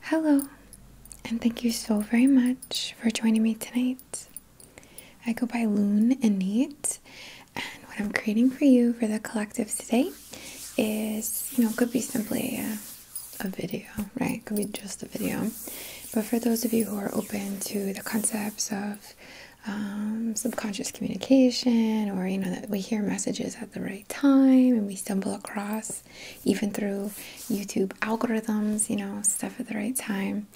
Hello, and thank you so very much for joining me tonight. I go by Loon and Neat, and what I'm creating for you for the collective today is you know, could be simply a, video, right? Could be just a video, but for those of you who are open to the concepts of um, subconscious communication, or you know, that we hear messages at the right time and we stumble across even through YouTube algorithms, you know, stuff at the right time.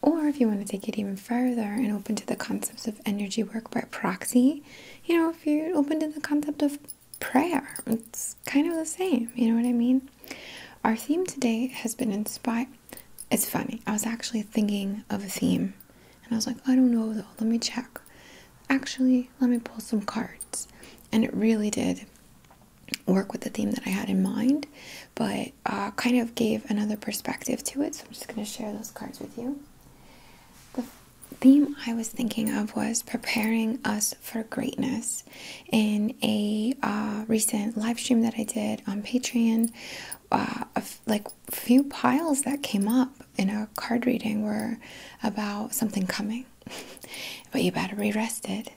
Or if you want to take it even further and open to the concepts of energy work by proxy, you know, if you're open to the concept of prayer, it's kind of the same, you know what I mean? Our theme today has been inspired. It's funny, I was actually thinking of a theme and I was like, I don't know let me check. Actually, let me pull some cards. And it really did work with the theme that I had in mind, but uh, kind of gave another perspective to it. So I'm just going to share those cards with you. The theme I was thinking of was preparing us for greatness. In a uh, recent live stream that I did on Patreon, uh, like few piles that came up in a card reading were about something coming but you better be rested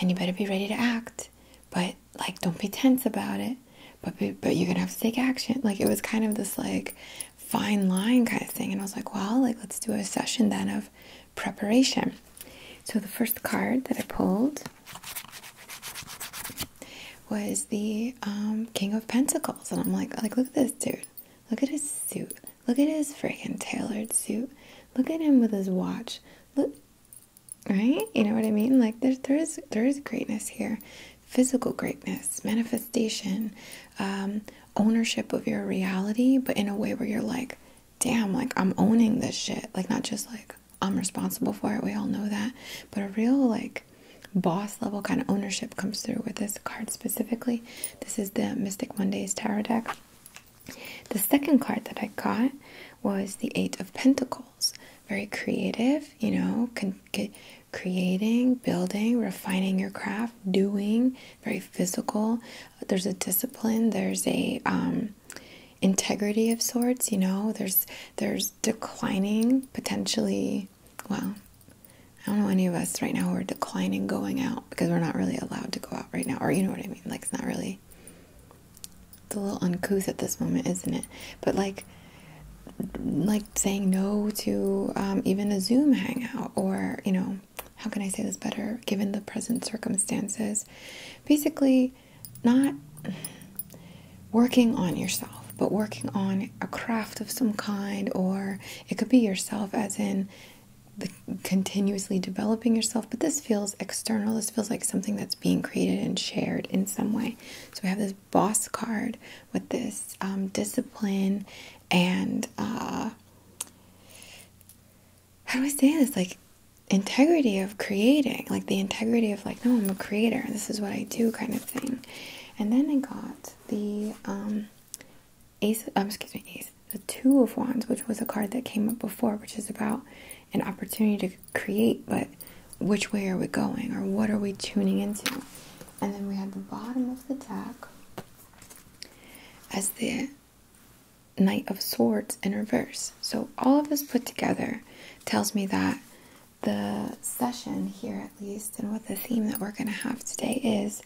and you better be ready to act. But like, don't be tense about it. But but you're gonna have to take action. Like it was kind of this like fine line kind of thing. And I was like, well, like let's do a session then of preparation. So the first card that I pulled was the um, King of Pentacles, and I'm like, like look at this dude. Look at his suit. Look at his freaking tailored suit. Look at him with his watch. Look, right? You know what I mean? Like there, there is, there is greatness here, physical greatness, manifestation, um, ownership of your reality, but in a way where you're like, damn, like I'm owning this shit. Like not just like I'm responsible for it. We all know that, but a real like boss level kind of ownership comes through with this card specifically. This is the Mystic Mondays tarot deck. The second card that I got was the Eight of Pentacles. Very creative, you know, creating, building, refining your craft, doing, very physical. There's a discipline, there's a um, integrity of sorts, you know, there's there's declining potentially well I don't know any of us right now who are declining going out because we're not really allowed to go out right now. Or you know what I mean? Like, it's not really. It's a little uncouth at this moment, isn't it? But like, like saying no to um, even a Zoom hangout or, you know, how can I say this better? Given the present circumstances, basically not working on yourself, but working on a craft of some kind, or it could be yourself as in the continuously developing yourself, but this feels external. This feels like something that's being created and shared in some way. So we have this boss card with this um, discipline and uh, how do I say this? Like integrity of creating, like the integrity of like, no, I'm a creator. This is what I do, kind of thing. And then I got the um, Ace, um, excuse me, Ace, the Two of Wands, which was a card that came up before, which is about an opportunity to create, but which way are we going or what are we tuning into? And then we had the bottom of the deck as the Knight of Swords in reverse. So all of this put together tells me that the session here at least and what the theme that we're going to have today is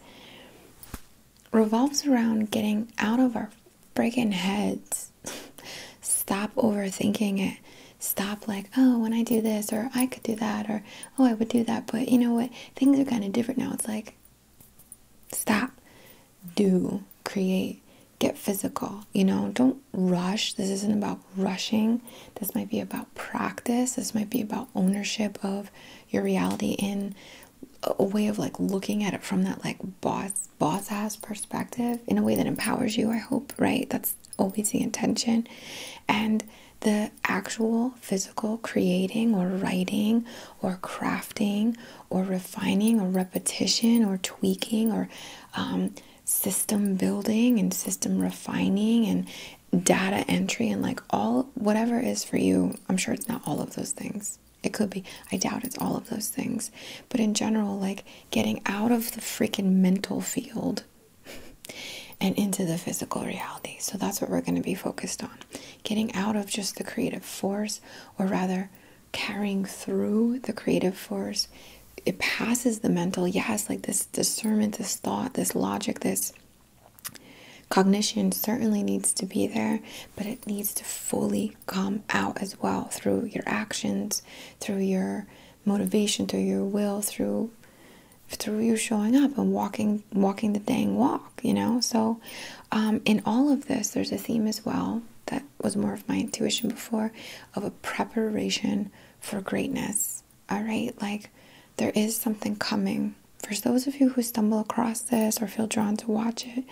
revolves around getting out of our freaking heads. Stop overthinking it. Stop, like, oh, when I do this, or I could do that, or oh, I would do that, but you know what? Things are kind of different now. It's like, stop, do, create, get physical. You know, don't rush. This isn't about rushing. This might be about practice. This might be about ownership of your reality in a way of like looking at it from that like boss boss ass perspective in a way that empowers you i hope right that's always the intention and the actual physical creating or writing or crafting or refining or repetition or tweaking or um, system building and system refining and data entry and like all whatever is for you I'm sure it's not all of those things. It could be. I doubt it's all of those things. But in general, like getting out of the freaking mental field and into the physical reality. So that's what we're going to be focused on. Getting out of just the creative force, or rather, carrying through the creative force. It passes the mental, yes, like this discernment, this thought, this logic, this Cognition certainly needs to be there, but it needs to fully come out as well through your actions, through your motivation, through your will, through through you showing up and walking walking the dang walk, you know. So um, in all of this, there's a theme as well that was more of my intuition before of a preparation for greatness. All right, like there is something coming for those of you who stumble across this or feel drawn to watch it,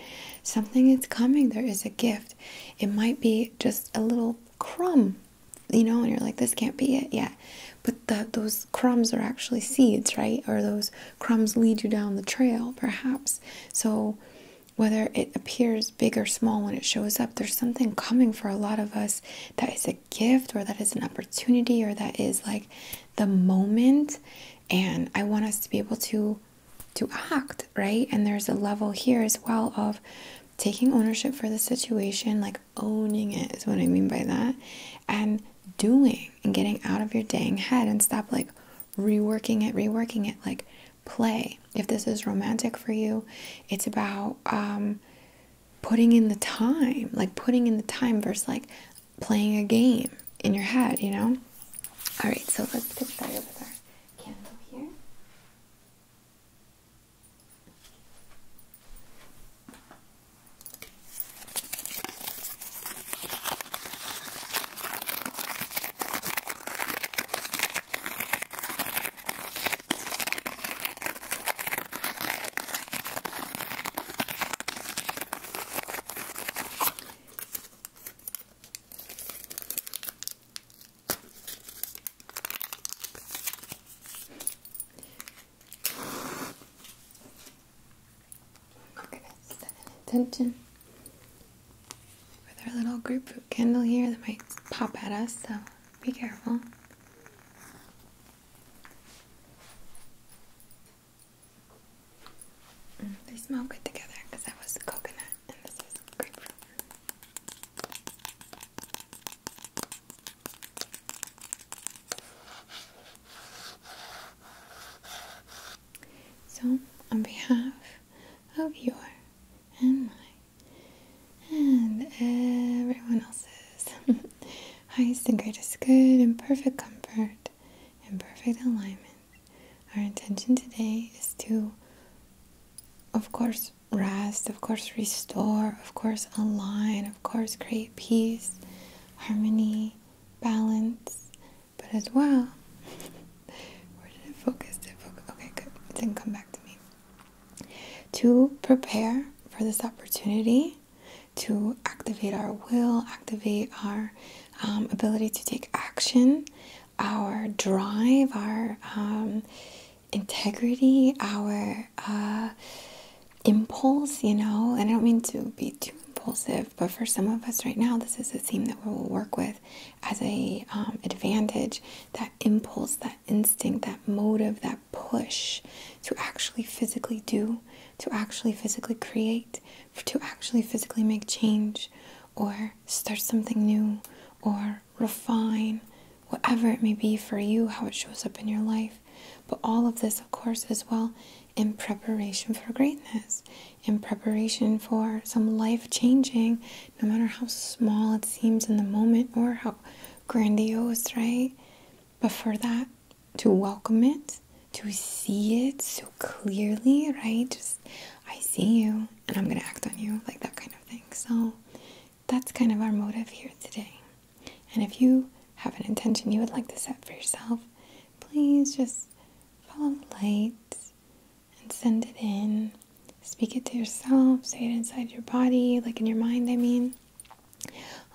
something is coming. There is a gift. It might be just a little crumb, you know, and you're like, this can't be it yet. But those crumbs are actually seeds, right? Or those crumbs lead you down the trail, perhaps. So, whether it appears big or small when it shows up, there's something coming for a lot of us that is a gift or that is an opportunity or that is like the moment and i want us to be able to to act right and there's a level here as well of taking ownership for the situation like owning it is what i mean by that and doing and getting out of your dang head and stop like reworking it reworking it like play if this is romantic for you it's about um, putting in the time like putting in the time versus like playing a game in your head, you know? Alright, so let's get started with our candle here. Okay, set an intention with our little group root candle here that might pop at us, so be careful. Mm, they smell good together because that was coconut and this is grapefruit. So, on behalf of your and my and everyone else's highest and greatest good and perfect comfort, in perfect alignment. Our intention today is to, of course, rest, of course, restore, of course, align, of course, create peace, harmony, balance, but as well, where did it focus? Did focus? Okay, good. It come back to me. To prepare for this opportunity to activate our will, activate our um, ability to take action, our drive, our um, integrity, our uh, impulse, you know. And I don't mean to be too impulsive, but for some of us right now, this is a theme that we will work with as a um, advantage. That impulse, that instinct, that motive, that push, to actually physically do, to actually physically create, to actually physically make change or start something new or refine whatever it may be for you, how it shows up in your life. But all of this, of course, is well in preparation for greatness, in preparation for some life changing, no matter how small it seems in the moment or how grandiose, right? But for that, to welcome it, to see it so clearly, right? Just, I see you and I'm gonna act on you, like that kind of thing. So that's kind of our motive here today. And if you have an intention you would like to set for yourself, please just follow the light and send it in. Speak it to yourself, say it inside your body, like in your mind, I mean.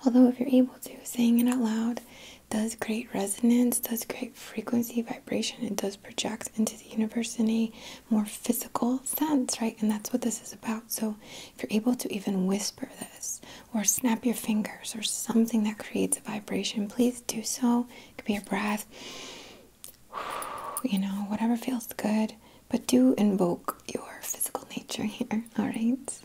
Although, if you're able to, saying it out loud does create resonance, does create frequency, vibration, it does project into the universe in a more physical sense, right? And that's what this is about. So, if you're able to even whisper this or snap your fingers or something that creates a vibration, please do so. It could be your breath, you know, whatever feels good, but do invoke your physical nature here, all right?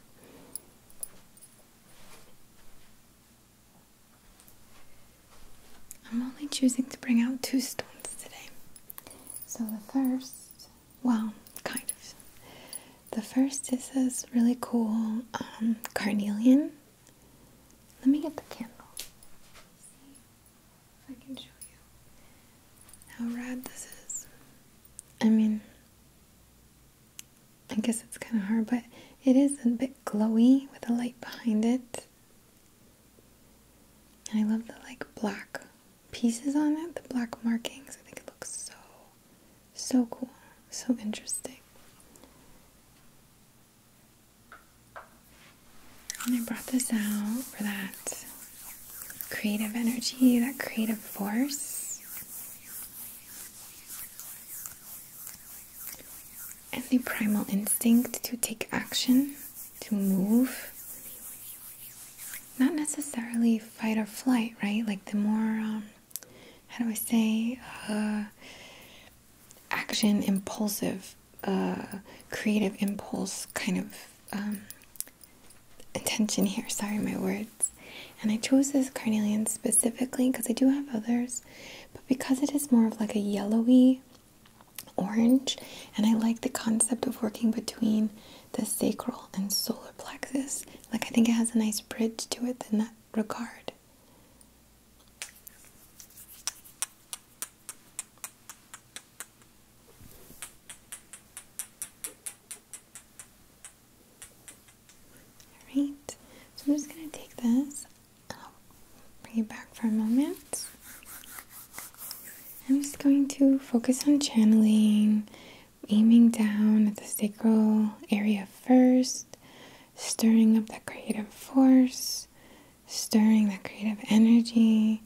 I'm only choosing to bring out two stones today. So the first, well, kind of. The first is this really cool um, carnelian. Let me get the candle. I can show you how rad this is. I mean, I guess it's kind of hard, but it is a bit glowy with the light behind it. And I love the like black pieces on it, the black markings. I think it looks so, so cool, so interesting. And I brought this out for that creative energy, that creative force and the primal instinct to take action, to move. Not necessarily fight or flight, right? Like the more, um, how do I say, uh, action impulsive, uh, creative impulse kind of um, attention here. Sorry, my words. And I chose this carnelian specifically because I do have others, but because it is more of like a yellowy orange, and I like the concept of working between the sacral and solar plexus. Like, I think it has a nice bridge to it in that regard. Alright, so I'm just going to take this and I'll bring it back for a moment. I'm just going to focus on channeling, aiming down at the sacral area first, stirring up that creative force, stirring that creative energy,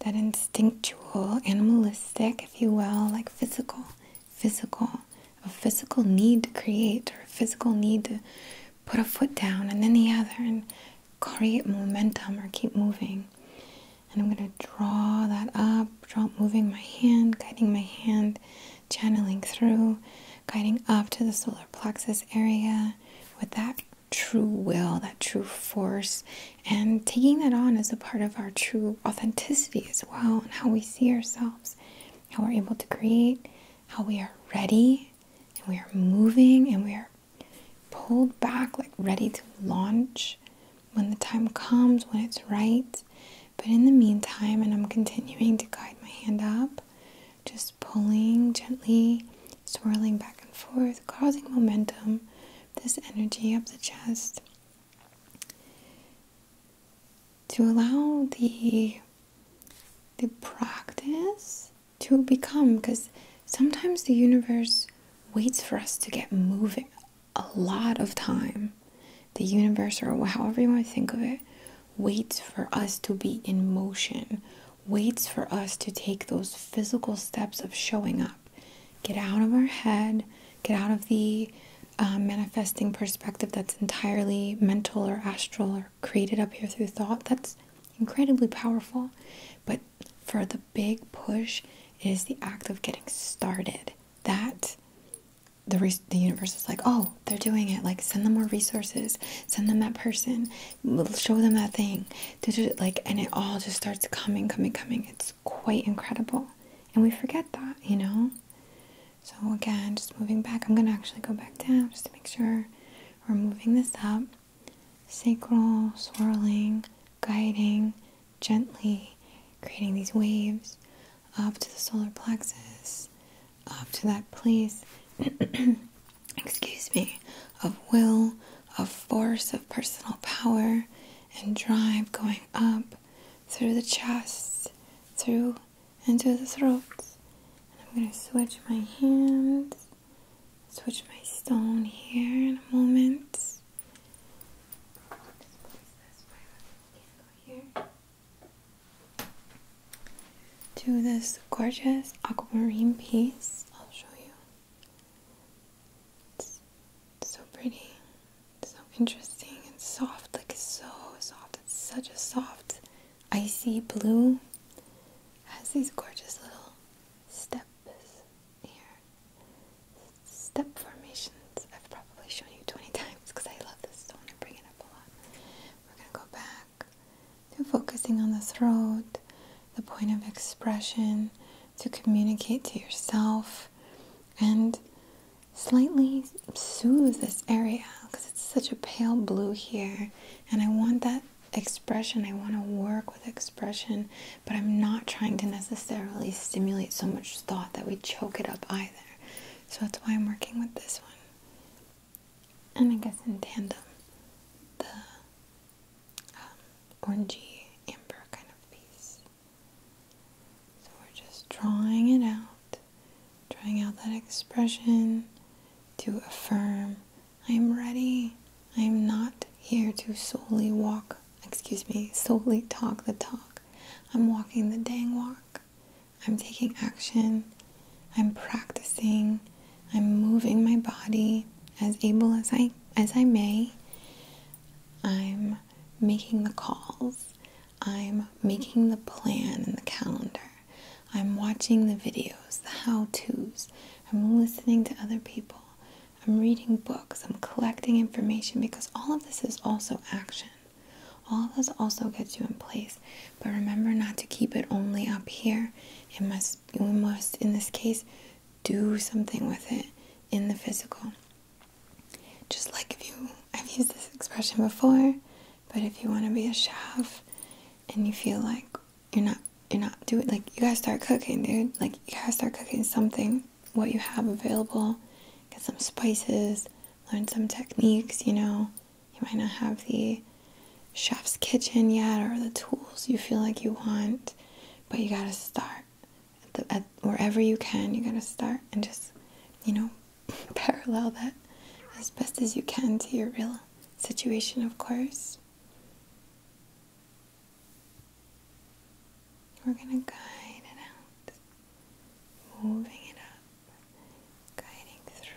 that instinctual, animalistic, if you will, like physical physical, a physical need to create or a physical need to put a foot down and then the other and create momentum or keep moving. And I'm going to draw that up, draw moving my hand, guiding my hand, channeling through, guiding up to the solar plexus area with that true will, that true force, and taking that on as a part of our true authenticity as well, and how we see ourselves, how we're able to create, how we are ready and we are moving and we are pulled back, like ready to launch when the time comes, when it's right. But in the meantime, and I'm continuing to guide my hand up, just pulling gently, swirling back and forth, causing momentum, this energy up the chest to allow the the practice to become because sometimes the universe waits for us to get moving a lot of time the universe or however you want to think of it waits for us to be in motion waits for us to take those physical steps of showing up get out of our head Get out of the uh, manifesting perspective that's entirely mental or astral or created up here through thought. That's incredibly powerful. But for the big push, it is the act of getting started. That the, the universe is like, oh, they're doing it. Like, send them more resources. Send them that person. Show them that thing. Like, and it all just starts coming, coming, coming. It's quite incredible. And we forget that, you know? So again, just moving back. I'm going to actually go back down just to make sure we're moving this up. Sacral, swirling, guiding, gently, creating these waves up to the solar plexus, up to that place, excuse me, of will, of force, of personal power and drive going up through the chest, through into the throat. And I'm going to switch my hands, switch my stone here in a moment. To this gorgeous aquamarine piece, I'll show you. It's so pretty so interesting and soft, like so soft. It's such a soft, icy blue. Has these gorgeous little steps here, step formations. I've probably shown you 20 times because I love this. stone not want to bring it up a lot. We're gonna go back focusing on the throat, the point of expression, to communicate to yourself, and slightly soothe this area because it's such a pale blue here and I want that expression. I want to work with expression, but I'm not trying to necessarily stimulate so much thought that we choke it up either. So that's why I'm working with this one. And I guess in tandem, the um, orangey amber kind of piece. So we're just drawing it out, drawing out that expression to affirm I'm ready. I'm not here to solely walk, excuse me, solely talk the talk. I'm walking the dang walk. I'm taking action. I'm practicing. I'm moving my body as able as I as I may. I'm making the calls. I'm making the plan and the calendar. I'm watching the videos, the how to's. I'm listening to other people. I'm reading books. I'm collecting information because all of this is also action. All of this also gets you in place. But remember not to keep it only up here. It must, we must, in this case, do something with it in the physical. Just like if you, I've used this expression before, but if you want to be a chef and you feel like you're not, you're not doing, like you gotta start cooking, dude. Like you gotta start cooking something, what you have available, get some spices, learn some techniques, you know. You might not have the chef's kitchen yet or the tools you feel like you want, but you gotta start wherever you can you got to start and just you know parallel that as best as you can to your real situation of course we're going to guide it out moving it up guiding through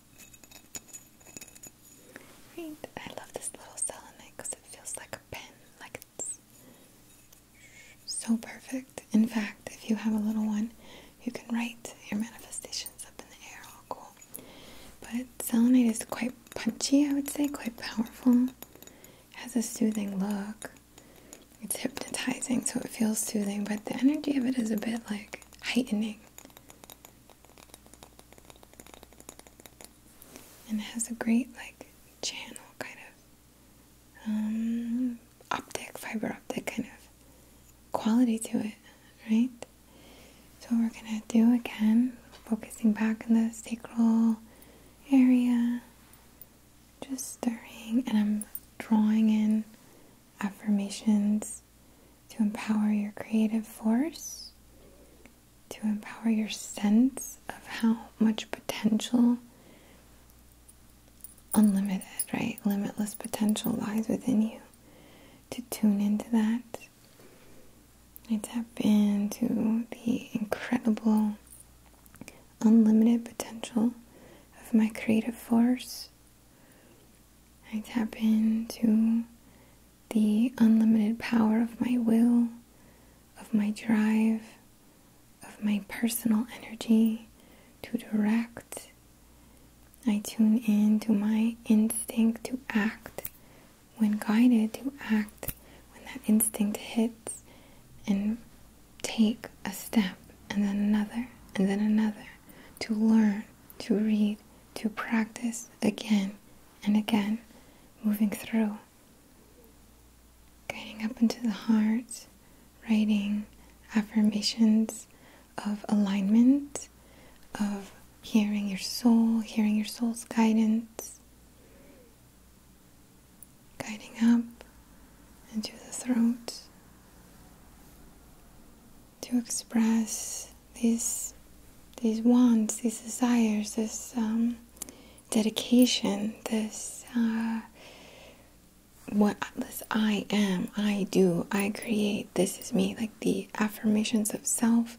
I love this little selenite because it feels like a pen, like it's so perfect. In fact, if you have a little one, you can write your manifestations up in the air, all cool. But selenite is quite punchy, I would say, quite powerful. Has a soothing look. It's hypnotizing, so it feels soothing, but the energy of it is a bit like heightening and it has a great like channel kind of um, optic, fiber optic kind of quality to it, right? So we're gonna do again, focusing back in the sacral area, just stirring, and I'm drawing in affirmations to empower your creative force, to empower your sense of how much potential, unlimited, right? Limitless potential lies within you. To tune into that, I tap into the incredible, unlimited potential of my creative force. I tap into the unlimited power of my will, of my drive, of my personal energy to direct. I tune in to my instinct to act when guided to act when that instinct hits and take a step and then another and then another to learn, to read, to practice again and again moving through, guiding up into the heart, writing affirmations of alignment, of hearing your soul, hearing your soul's guidance, guiding up into the throat to express these these wants, these desires, this um, dedication, this uh, what this I am, I do, I create, this is me, like the affirmations of self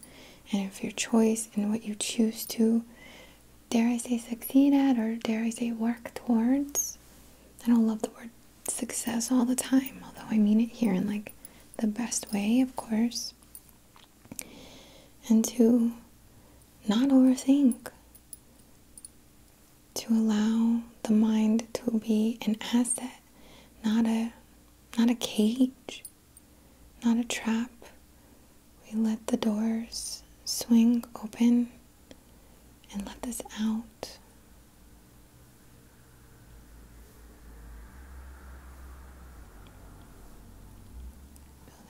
and of your choice and what you choose to, dare I say, succeed at or dare I say, work towards. I don't love the word success all the time, although I mean it here in like the best way, of course and to not overthink, to allow the mind to be an asset, not a not a cage, not a trap. We let the doors swing open and let this out. I'm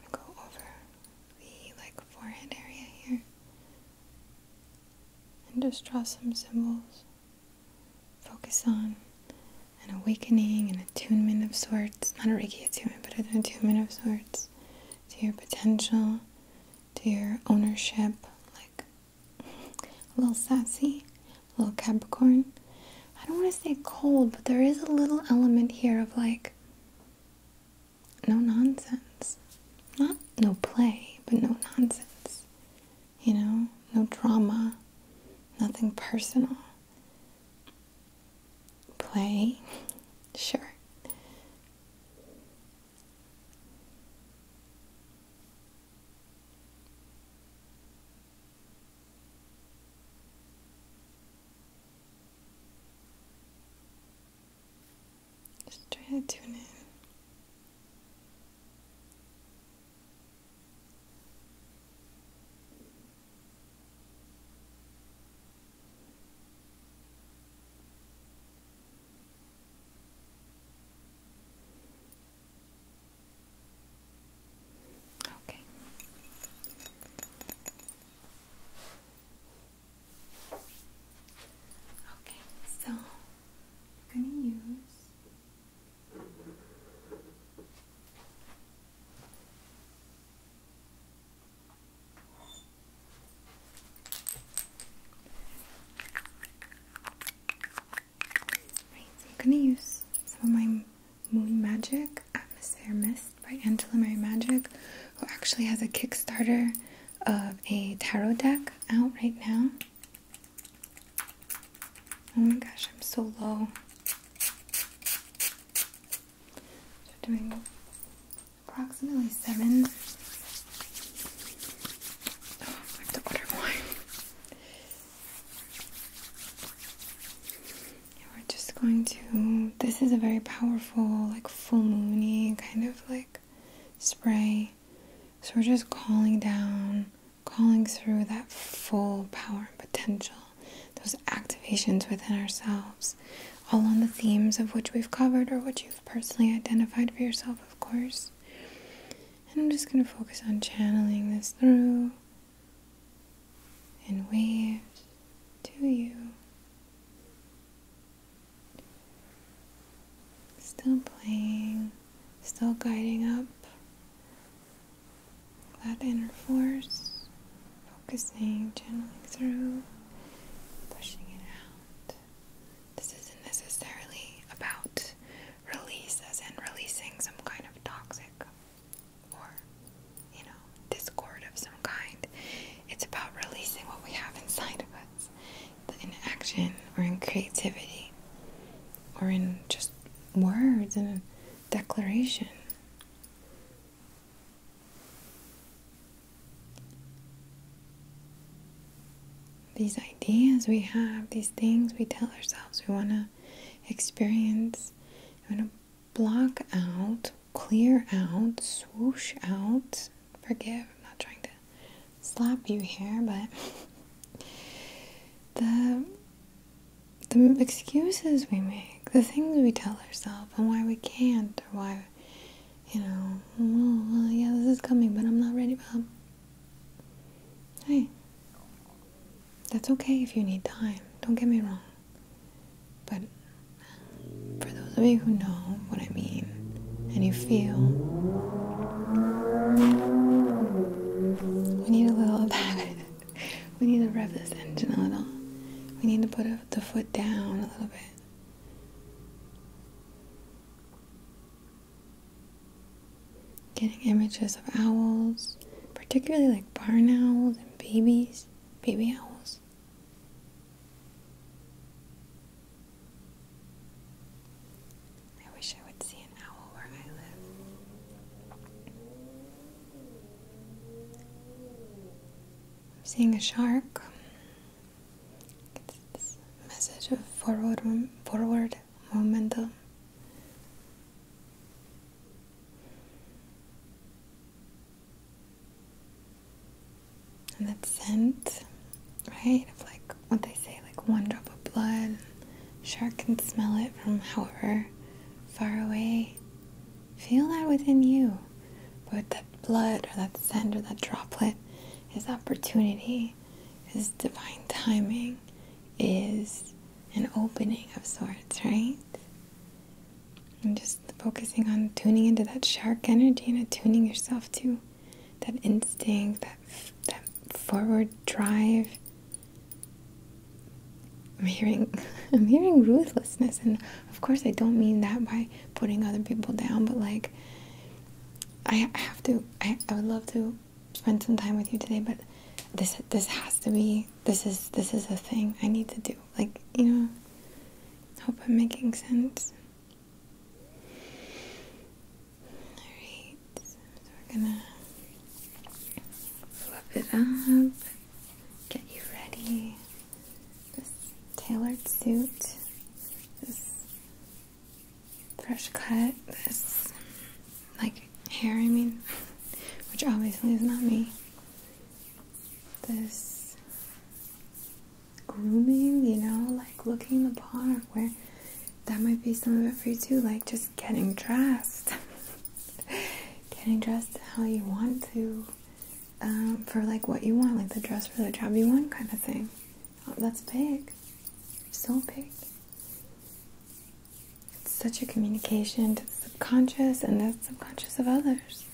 going to go over the like forehead area here and just draw some symbols focus on an awakening, an attunement of sorts, not a Reiki attunement, but an attunement of sorts to your potential, to your ownership, like a little sassy, a little Capricorn. I don't want to say cold, but there is a little element here of like no nonsense. Not no play, but no nonsense you know, no drama, nothing personal. Play, sure. Just try to tune in. Okay. Okay, so gonna use so I'm gonna use some of my Moon Magic Atmosphere Mist by Angela Mary Magic, who actually has a Kickstarter of a tarot deck out right now. Oh my gosh, I'm so low. So doing approximately seven. Oh, I have to order more. we're just going to. This is a very powerful, like full moony kind of like spray. So we're just calling down, calling through that full power and potential, those activations within ourselves, all on the themes of which we've covered or what you've personally identified for yourself, of course. And I'm just going to focus on channeling this through in waves to you. Still playing still guiding up that inner force, focusing, gently through, pushing it out. This isn't necessarily about release, as in releasing some kind of toxic or, you know, discord of some kind. It's about releasing what we have inside of us in action or in creativity or in just words and declaration. These ideas we have, these things we tell ourselves we want to experience, we want to block out, clear out, swoosh out forgive. I'm not trying to slap you here, but the the excuses we make, the things we tell ourselves, and why we can't, or why you know, well, yeah, this is coming, but I'm not ready. Bob. Hey, that's okay if you need time. Don't get me wrong, but for those of you who know what I mean and you feel. We need a little We need to rev this engine a little. We need to put the foot down a little bit. Getting images of owls, particularly like barn owls and babies, baby owls. I wish I would see an owl where I live. I'm seeing a shark. It's this message of forward, forward momentum. And that scent, right? Of like what they say, like one drop of blood. Shark can smell it from however far away. Feel that within you. But that blood or that scent or that droplet is opportunity, is divine timing, is an opening of sorts, right? And just focusing on tuning into that shark energy and attuning yourself to that instinct, that that forward drive. I'm hearing, I'm hearing ruthlessness, and of course, I don't mean that by putting other people down, but like, I have to. I, would love to spend some time with you today, but this this has to be. This is this is a thing I need to do. Like you know, hope I'm making sense. Alright, so we're gonna flip it up, get you ready. This tailored suit, this fresh cut, this like hair, I mean, which obviously is not me. This grooming, you know, like looking the part where that might be some of it for you too, like just getting dressed. getting dressed how you want to, um, for like what you want, like the dress for the job you want kind of thing. Oh, that's big. So big. It's such a communication to the subconscious and the subconscious of others.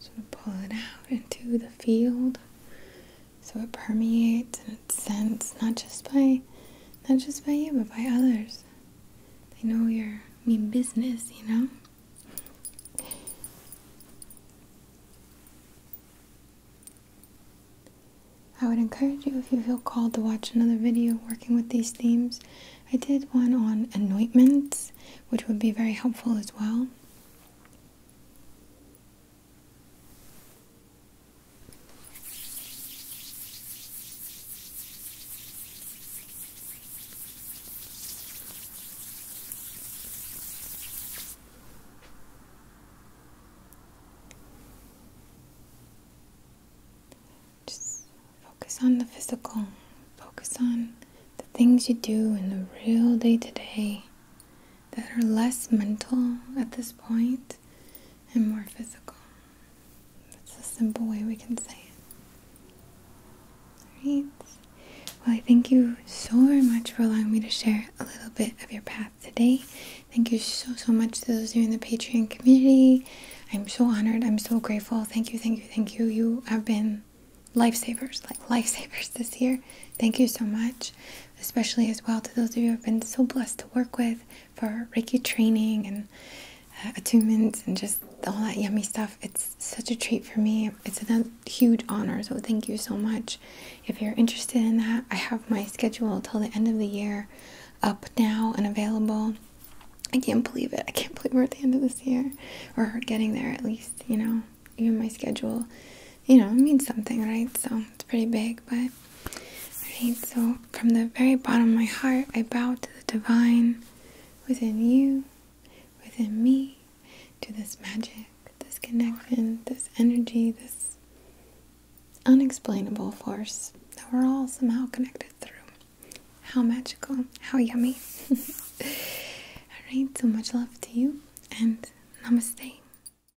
So of pull it out into the field so it permeates and it sends not just by not just by you but by others. They know your mean business, you know? I would encourage you if you feel called to watch another video working with these themes. I did one on anointments, which would be very helpful as well. Just focus on the physical, focus on the things you do in the real day to day that are less mental at this point and more physical. That's the simple way we can say it. Alright. Well, I thank you so much for allowing me to share a little bit of your path today. Thank you so, so much to those who in the Patreon community. I'm so honored. I'm so grateful. Thank you, thank you, thank you. You have been lifesavers, like lifesavers this year. Thank you so much especially as well to those of you i have been so blessed to work with for Reiki training and uh, attunements and just all that yummy stuff. It's such a treat for me. It's a huge honor, so thank you so much. If you're interested in that, I have my schedule till the end of the year up now and available. I can't believe it. I can't believe we're at the end of this year or getting there at least, you know, even my schedule you know, it means something, right? So it's pretty big, but. Alright, so from the very bottom of my heart, I bow to the divine within you, within me, to this magic, this connection, this energy, this unexplainable force that we're all somehow connected through. How magical, how yummy. Alright, so much love to you, and namaste.